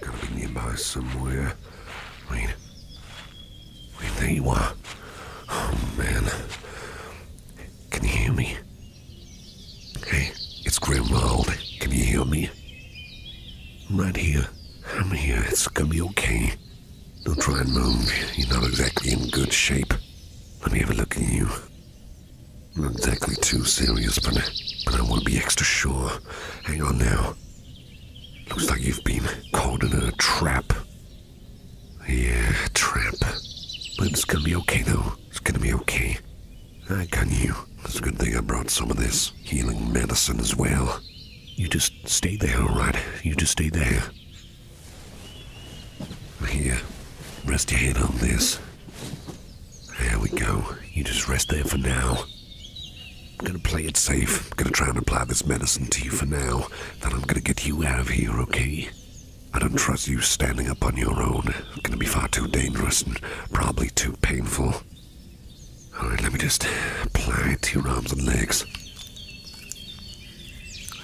Gotta be nearby somewhere. Wait, mean, there you are. Oh man, can you hear me? Hey, it's Grimwald. Can you hear me? right here. I'm here. It's gonna be okay. Don't try and move. You're not exactly in good shape. Let me have a look at you. Not exactly too serious, but, but I want to be extra sure. Hang on now. Looks like you've been caught in a trap. Yeah, trap. But it's gonna be okay, though. It's gonna be okay. I got you. It's a good thing I brought some of this healing medicine as well. You just stay there, alright? You just stay there. Here, rest your head on this. There we go. You just rest there for now. I'm gonna play it safe. I'm gonna try and apply this medicine to you for now. Then I'm gonna get you out of here, okay? I don't trust you standing up on your own. It's gonna be far too dangerous and probably too painful. Alright, let me just apply it to your arms and legs.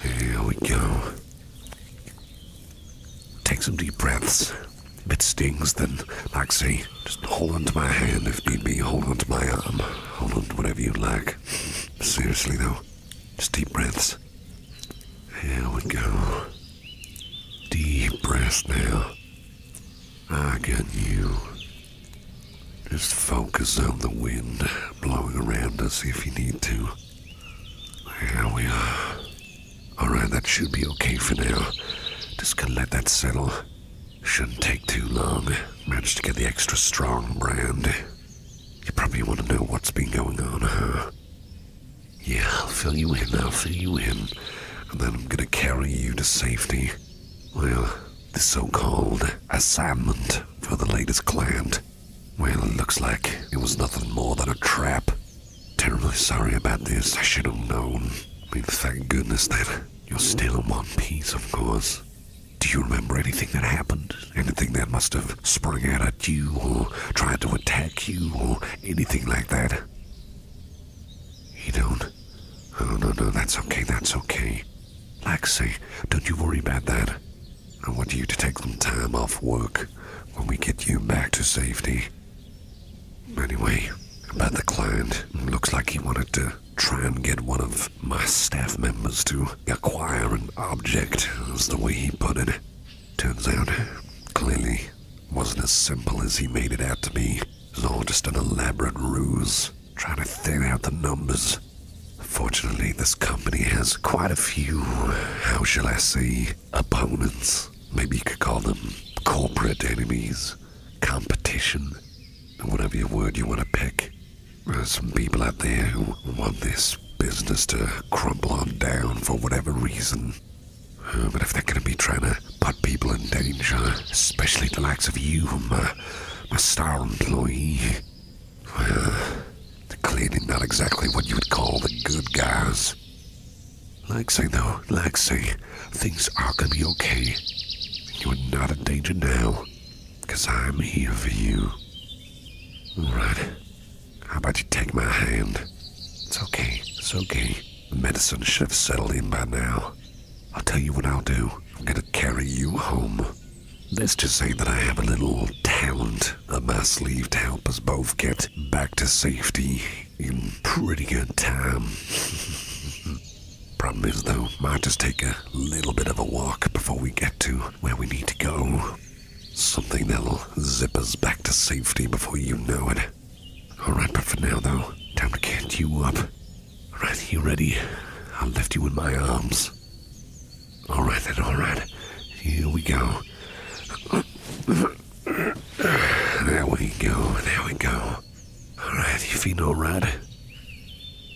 Here we go. Take some deep breaths. If it stings, then, like, say, just hold onto my hand if need be, hold onto my arm, hold onto whatever you like. Seriously, though, just deep breaths. Here we go. Deep breaths now. I get you. Just focus on the wind blowing around us if you need to. Here we are. Alright, that should be okay for now. Just gonna let that settle. Shouldn't take too long. Managed to get the extra strong brand. You probably want to know what's been going on, huh? Yeah, I'll fill you in, I'll fill you in. And then I'm gonna carry you to safety. Well, the so-called assignment for the latest client well, it looks like it was nothing more than a trap. Terribly sorry about this. I should have known. But thank goodness that you're still in one piece, of course. Do you remember anything that happened? Anything that must have sprung out at you, or tried to attack you, or anything like that? You don't? Oh, no, no, that's okay, that's okay. Like don't you worry about that. I want you to take some time off work when we get you back to safety. Anyway, about the client, looks like he wanted to try and get one of my staff members to acquire an object, as the way he put it. Turns out, clearly, wasn't as simple as he made it out to be. It was all just an elaborate ruse, trying to thin out the numbers Fortunately, this company has quite a few, how shall I say, opponents. Maybe you could call them corporate enemies, competition, whatever your word you want to pick. There's some people out there who want this business to crumble on down for whatever reason. Uh, but if they're going to be trying to put people in danger, especially the likes of you, my star employee, well, they're not exactly what you would call the good guys. Lexi, though, Lexi, things are gonna be okay. You're not in danger now, because I'm here for you. All right. How about you take my hand? It's okay, it's okay. The medicine should have settled in by now. I'll tell you what I'll do. I'm gonna carry you home. Let's just say that I have a little talent up my sleeve to help us both get back to safety in pretty good time. Problem is, though, might just take a little bit of a walk before we get to where we need to go. Something that'll zip us back to safety before you know it. Alright, but for now, though, time to get you up. Alright, you ready? I'll lift you in my arms. All right, then, all right. Here we go. There we go, there we go. All right, you feel all right?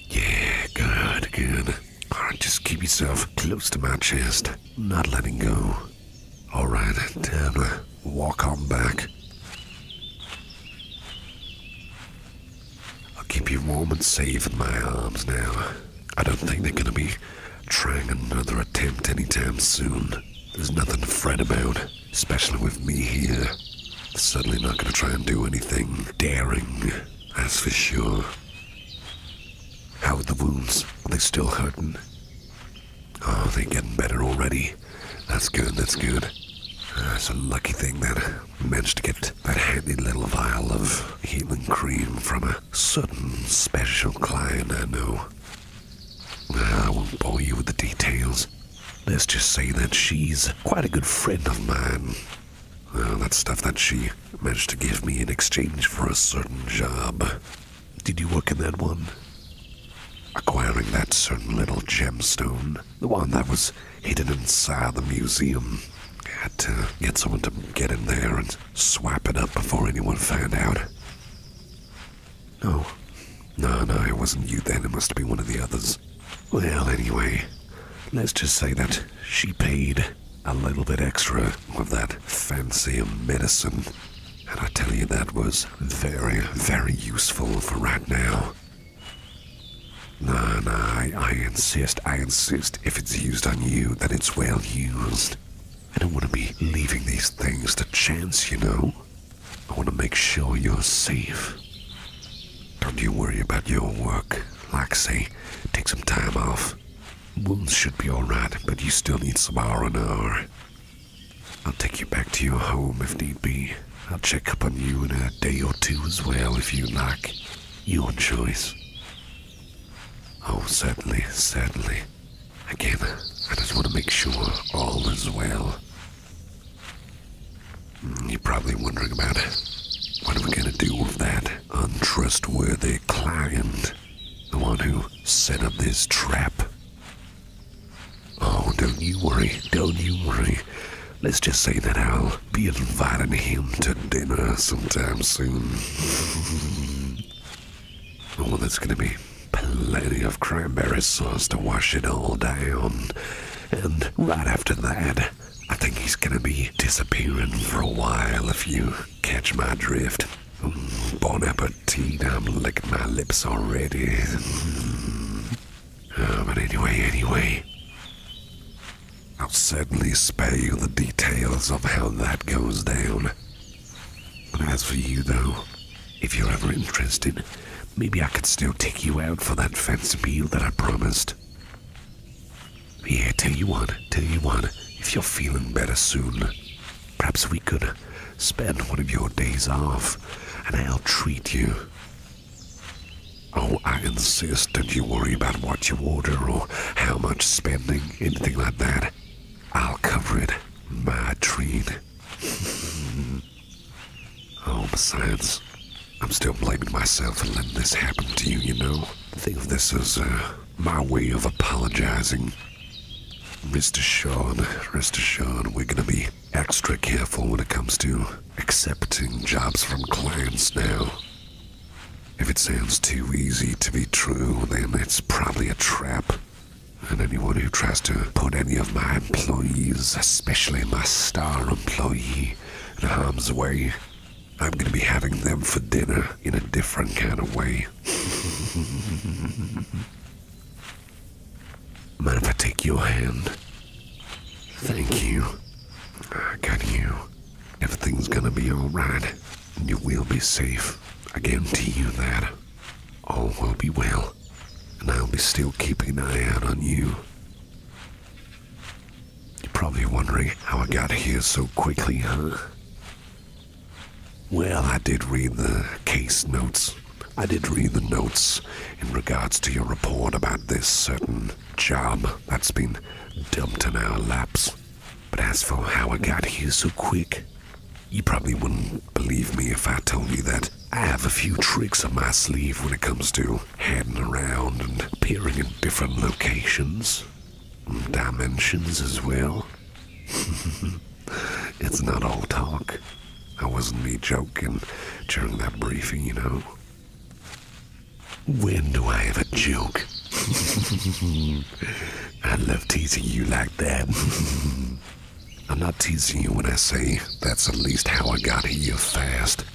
Yeah, good, good. All right, just keep yourself close to my chest, not letting go. All right, then, walk on back. I'll keep you warm and safe in my arms now. I don't think they're gonna be trying another attempt anytime soon. There's nothing to fret about, especially with me here. They're certainly not gonna try and do anything daring, that's for sure. How are the wounds? Are they still hurting? Oh, they're getting better already. That's good, that's good. That's ah, a lucky thing that I managed to get that handy little vial of healing cream from a certain special client I know. I won't bore you with the details. Let's just say that she's quite a good friend of mine. that stuff that she managed to give me in exchange for a certain job. Did you work in that one? Acquiring that certain little gemstone, the one that was hidden inside the museum to get someone to get in there and swap it up before anyone found out. No. No, no, it wasn't you then. It must be one of the others. Well, anyway, let's just say that she paid a little bit extra of that fancy medicine. And I tell you, that was very, very useful for right now. No, no, I insist, I insist. If it's used on you, then it's well used. I don't want to be leaving these things to chance, you know. I want to make sure you're safe. Don't you worry about your work. Like I say, take some time off. Wounds should be alright, but you still need some hour and hour. I'll take you back to your home if need be. I'll check up on you in a day or two as well if you like. Your choice. Oh, certainly, certainly. Again, I just want to make sure all is well. Hmm, you're probably wondering about What are we going to do with that untrustworthy client? The one who set up this trap? Oh, don't you worry, don't you worry. Let's just say that I'll be inviting him to dinner sometime soon. oh, there's gonna be plenty of cranberry sauce to wash it all down. And right after that, I think he's gonna be disappearing for a while if you catch my drift. Mm, bon appetit, I'm licking my lips already. Ah, but anyway, anyway. I'll certainly spare you the details of how that goes down. But as for you, though, if you're ever interested, maybe I could still take you out for that fancy meal that I promised. Yeah, tell you what, tell you what, if you're feeling better soon, perhaps we could spend one of your days off, and I'll treat you. Oh, I insist Don't you worry about what you order or how much spending, anything like that. I'll cover it. My treat. oh, besides, I'm still blaming myself for letting this happen to you, you know? think of this as uh, my way of apologizing. Mr. Sean, rest assured, we're gonna be extra careful when it comes to accepting jobs from clients now. If it sounds too easy to be true, then it's probably a trap. And anyone who tries to put any of my employees, especially my star employee, in harm's way, I'm gonna be having them for dinner in a different kind of way. Mind if I take your hand? Thank you. Can you. Everything's gonna be alright, and you will be safe. I guarantee you that. All will be well, and I'll be still keeping an eye out on you. You're probably wondering how I got here so quickly, huh? Well, I did read the case notes. I did read the notes in regards to your report about this certain job that's been dumped in our laps. But as for how I got here so quick, you probably wouldn't believe me if I told you that I have a few tricks up my sleeve when it comes to heading around and appearing in different locations, dimensions as well. it's not all talk. I wasn't me joking during that briefing, you know. When do I ever joke? I love teasing you like that. I'm not teasing you when I say that's at least how I got here fast.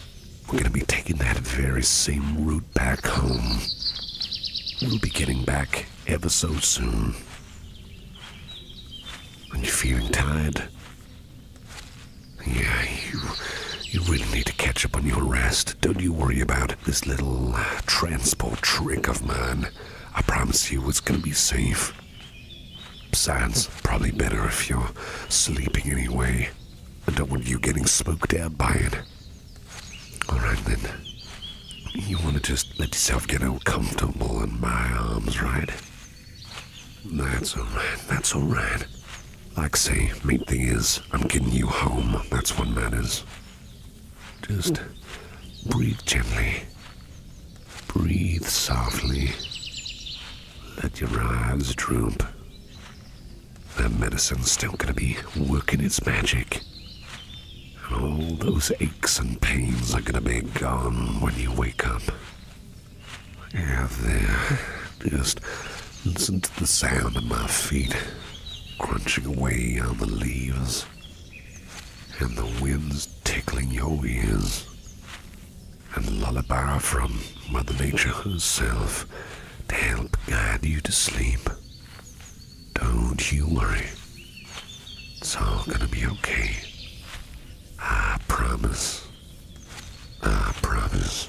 We're gonna be taking that very same route back home. We'll be getting back ever so soon. Are you feeling tired? Yeah, you, you really need to catch up on your rest. Don't you worry about this little transport trick of mine. I promise you it's gonna be safe. Besides, probably better if you're sleeping anyway. I don't want you getting smoked out by it. Alright then. You wanna just let yourself get comfortable in my arms, right? That's alright, that's alright. Like say, main thing is, I'm getting you home. That's what matters. Just breathe gently. Breathe softly. Let your eyes droop. That medicine's still gonna be working its magic. All those aches and pains are gonna be gone when you wake up. Yeah, there. Just listen to the sound of my feet crunching away on the leaves and the winds tickling your ears. And lullaby from Mother Nature herself to help guide you to sleep. Don't you worry. It's all gonna be okay. I promise. I promise.